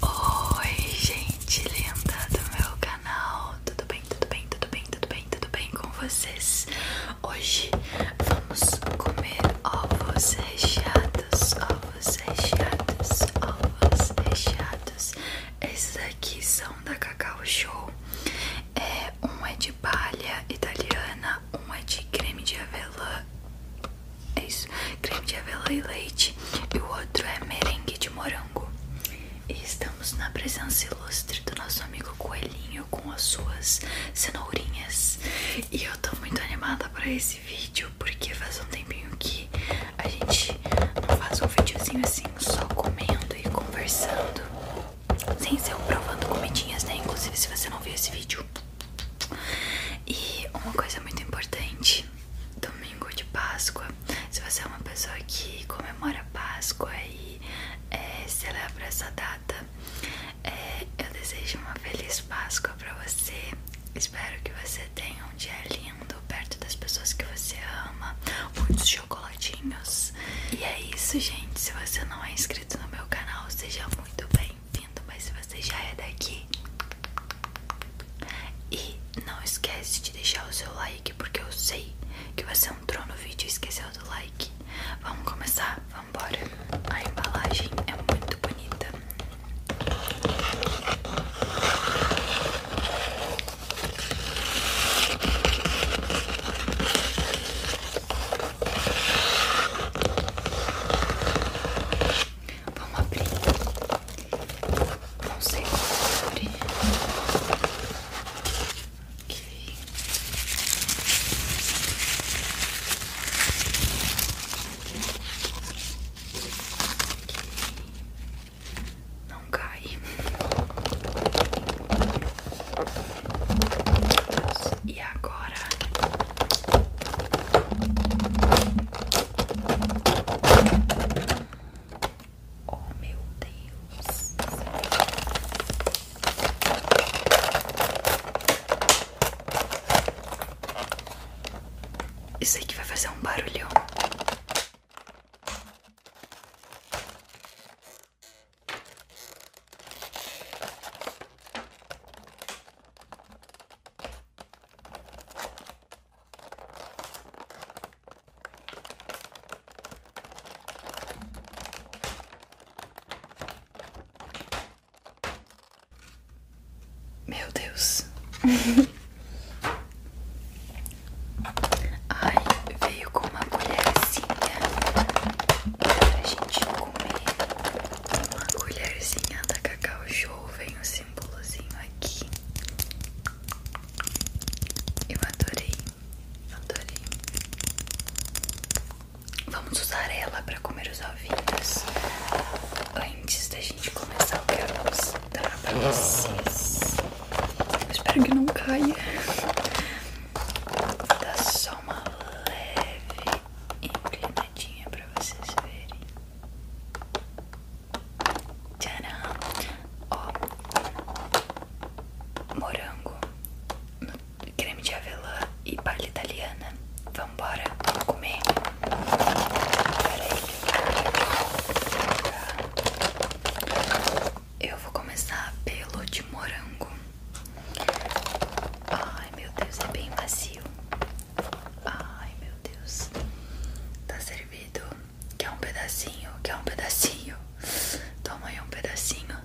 Oi, gente linda do meu canal. Tudo bem? Tudo bem? Tudo bem? Tudo bem? Tudo bem com vocês? Hoje vamos comer ovos recheados, ovos recheados, ovos recheados. Esses aqui são da Cacau Show. É, um é de palha italiana, um é de creme de avelã é isso, creme de avela e leite E o outro é merengue de morango E estamos na presença ilustre do nosso amigo Coelhinho Com as suas cenourinhas E eu tô muito animada pra esse vídeo Porque faz um tempinho que a gente faz um videozinho assim Só comendo e conversando Sem ser provando comidinhas, né? Inclusive se você não viu esse vídeo e uma coisa muito importante: domingo de Páscoa. Se você é uma pessoa que comemora Páscoa e é, celebra essa data, é, eu desejo uma feliz Páscoa para você. Espero que você tenha um dia lindo perto das pessoas que você ama, muitos chocolatinhos. E é isso, gente. Se você não é inscrito no meu canal, seja muito bem bem-vindo, mas se você já é daqui e não esquece de deixar o seu like, porque eu sei que você entrou no vídeo e esqueceu do like. Vamos começar? Vamos embora. A embalagem é muito bonita. Vamos abrir. Não sei como abrir. Não cai. E agora Oh meu Deus Isso aqui vai fazer um barulhão meu Deus. Ai, veio com uma colherzinha pra gente comer uma colherzinha da Cacau Show. Vem o símbolozinho aqui. Eu adorei, adorei. Vamos usar ela para comer os ovinhos antes da gente começar o que eu vou mostrar pra vocês. espero que não caia. Vou dar só uma leve inclinada dobradinha pra vocês verem. Tcharam! Ó, morango, creme de avelã e palha italiana. Vambora, vamos comer. Peraí. Eu vou começar pelo de morango. Ai meu Deus, é bem macio. Ai meu Deus, tá servido. Quer um pedacinho? Quer um pedacinho? Toma aí um pedacinho.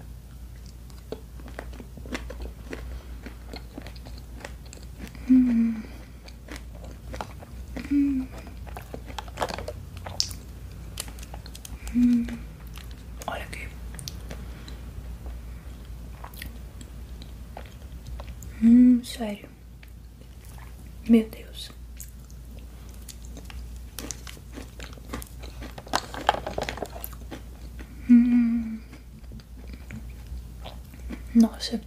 Hum. Hum. Hum. Olha aqui. Hum, sério. Meu Deus. Hum. Nossa.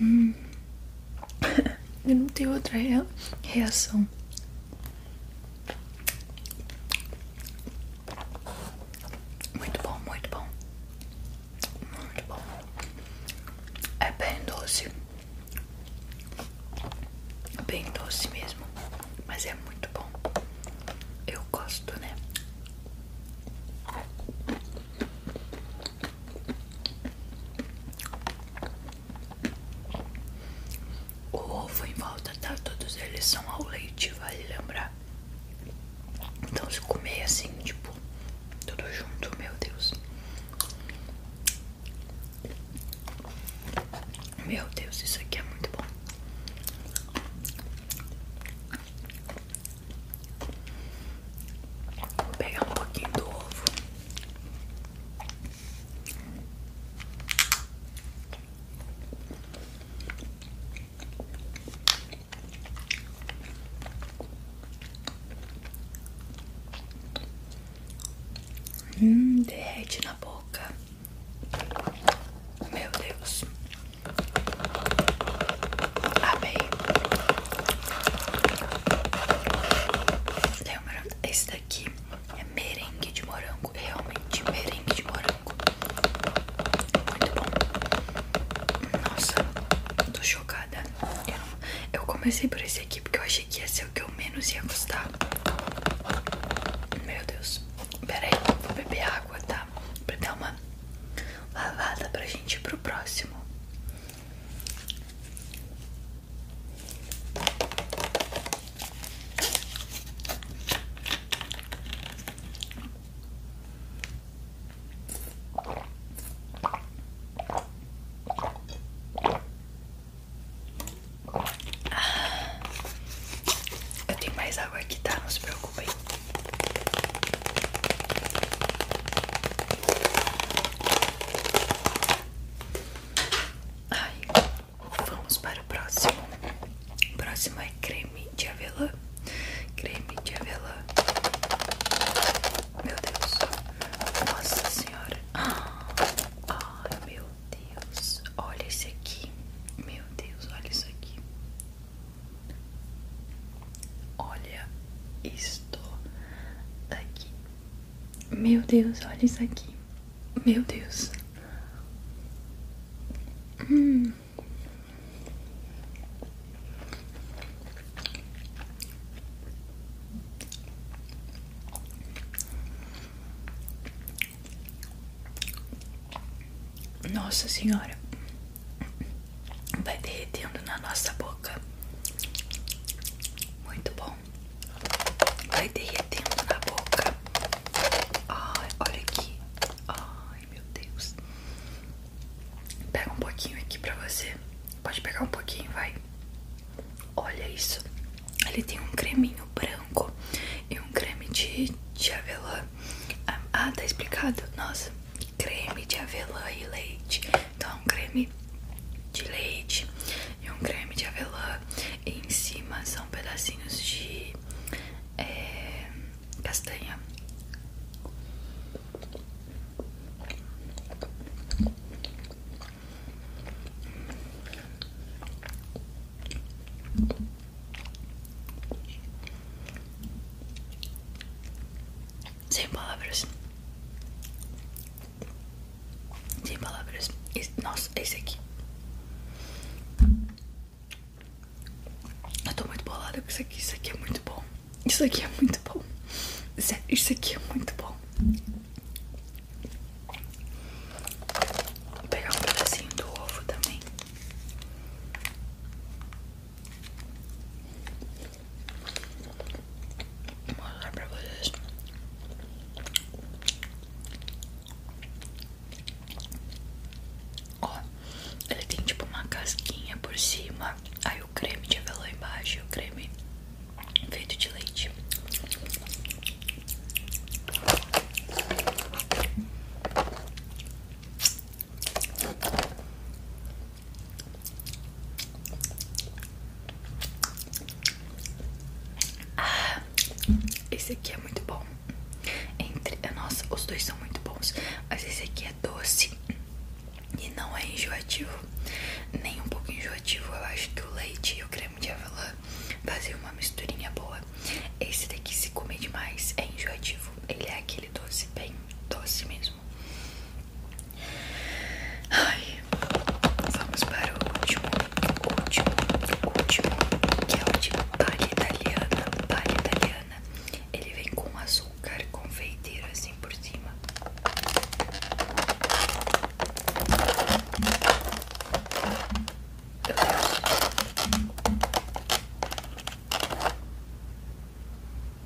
Hum. Eu não tenho outra reação. Muito bom, muito bom. Muito bom. É bem doce. bem doce mesmo. Mas é muito bom. Eu gosto, né? O ovo em volta, tá? Todos eles são ao leite, vale lembrar. Então se comer assim, tipo, tudo junto, meu Deus. Meu Deus, isso aqui é muito bom. Vou pegar um pouquinho do ovo. Hum, derrete na boca. Meu Deus. Amei. Ah, Lembra? Esse daqui é merengue de morango, realmente merengue de morango. Muito bom. Nossa, tô chocada. Eu, comecei por esse aqui porque eu achei que ia ser o que eu menos ia gostar. Meu Deus. Peraí, vou beber água, tá? Pra dar uma lavada pra gente ir pro próximo. Eu tenho mais água aqui, tá? Não se preocupe. Aí. Vamos para o próximo. O próximo é creme de avelã. Creme de avelã. Meu Deus. Nossa Senhora. Ai, meu Deus. Olha esse aqui. Meu Deus, olha isso aqui. Olha isto aqui. Meu Deus, olha isso aqui. Meu Deus. Hum. Nossa Senhora. Vai derretendo na nossa boca. Muito bom vai derretendo na boca. Ai, olha aqui. Ai, meu Deus. Pega um pouquinho aqui pra você. Pode pegar um pouquinho, vai. Olha isso. Ele tem um creminho branco e um creme de, de avelã. Ah, ah tá explicado? Nossa, creme de avelã e leite. Então, é um creme de leite e um creme de avelã. E em cima são pedacinhos de é, castanha. Sem palavras. Sem palavras. Esse, nossa, isso aqui. Eu tô muito bolada com isso aqui. Isso aqui é muito bom. Isso aqui é muito bom. isso aqui é muito bom. Vou pegar um pedacinho do ovo também. Vou mostrar pra vocês. Ó, ele tem tipo uma casquinha por cima. Aí o creme de avelã embaixo e o creme feito de leite. Ah, esse aqui é muito bom. Entre, nossa, os dois são muito bons, mas esse aqui é doce e não é enjoativo, nem um pouco enjoativo. Eu acho que o leite e o creme de avelã fazem uma misturinha boa. Esse daqui, se comer demais, é enjoativo. Ele é aquele doce bem doce mesmo. Ai, vamos para o último, último, último, que é o de palha italiana. Palha italiana, ele vem com açúcar confeiteiro assim por cima. Meu Deus.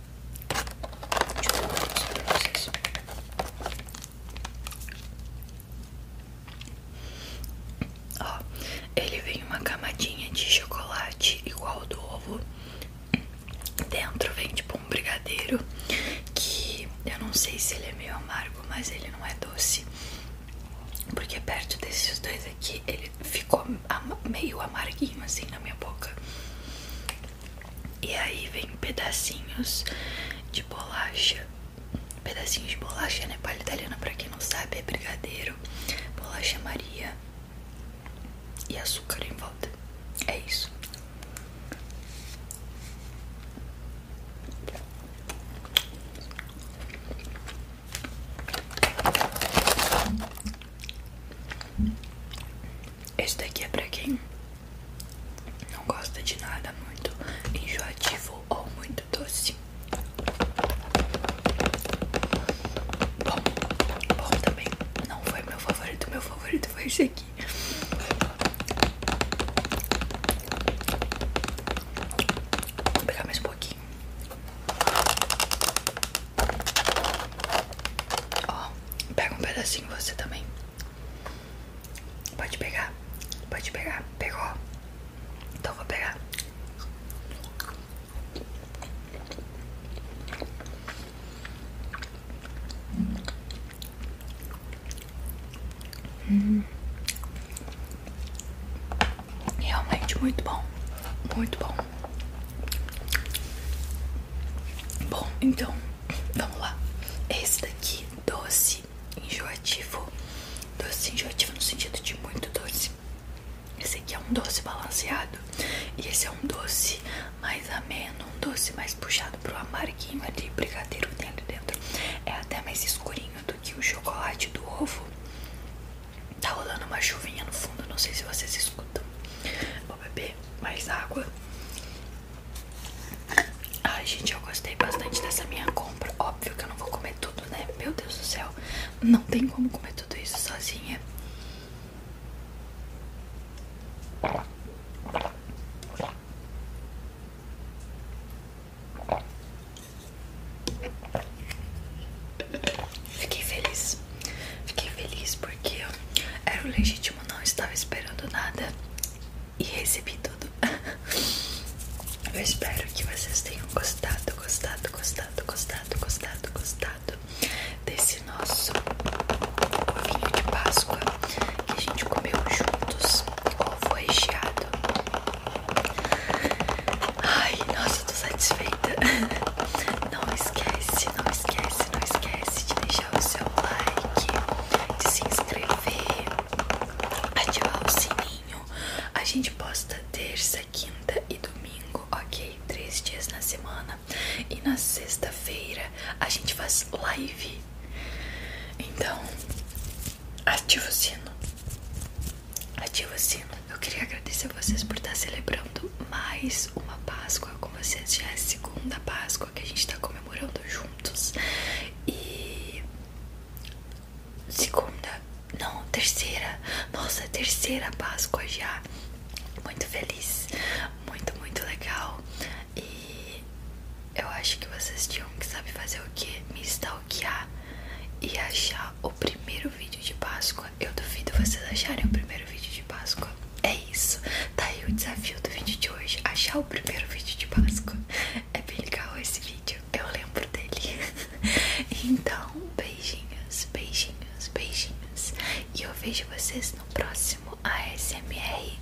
Deixa eu colocar pra vocês. Ó, ele vem uma camadinha de chocolate igual do ovo. Dentro vem tipo um brigadeiro que eu não sei se ele é meio amargo, mas ele não é doce. Porque perto desses dois aqui ele ficou meio amarguinho assim na minha boca. E aí vem pedacinhos de bolacha. Pedacinhos de bolacha, né? Palha italiana, pra quem não sabe, é brigadeiro, bolacha Maria e açúcar em volta. É isso. Esse daqui é pra quem não gosta de nada muito enjoativo ou muito doce. Bom, bom também. Não foi meu favorito, meu favorito foi esse aqui. Vou pegar mais um pouquinho aqui. pega um pedacinho você também. Pode pegar, pode pegar, pegou. Então vou pegar. Realmente muito bom, muito bom. Bom, então, vamos lá. Esse daqui, doce enjoativo. Doce enjoativo no sentido de muito doce. Esse aqui é um doce balanceado. E esse é um doce mais ameno, um doce mais puxado para o amarguinho ali, brigadeiro que tem ali dentro. É até mais escurinho do que o chocolate do ovo. Tá rolando uma chuvinha no fundo, não sei se vocês escutam. Vou beber mais água. Ai, gente, eu gostei bastante dessa minha compra. Óbvio que eu não vou comer tudo, né? Meu Deus do céu, não tem como comer tudo isso sozinha. Fiquei feliz. Fiquei feliz porque era o legítimo, não estava esperando nada e recebi tudo. Eu espero que vocês tenham gostado, gostado, gostado, gostado, gostado, gostado desse nosso ovinho de Páscoa que a gente comeu juntos, ovo recheado Ai, nossa, tô satisfeita. Não esquece, não esquece, não esquece de deixar o seu like, de se inscrever, ativar o sininho. A gente posta terça, quinta e domingo, ok? Três dias na semana. E na sexta-feira a gente faz live. Então, ativa o sino ativa o sino. Assim. Eu queria agradecer a vocês por estar celebrando mais uma Páscoa com vocês. Já é segunda Páscoa que a gente está comemorando juntos. E. Segunda, não, terceira. Nossa, terceira Páscoa já. Muito feliz, muito, muito legal. E eu acho que vocês tinham que saber fazer o que? Me stalkear e achar o o primeiro vídeo de Páscoa. Eu duvido vocês acharem o primeiro vídeo de Páscoa. É isso. Tá aí o desafio do vídeo de hoje. Achar o primeiro vídeo de Páscoa. É bem legal esse vídeo. Eu lembro dele. Então, beijinhos, beijinhos, beijinhos. E eu vejo vocês no próximo ASMR.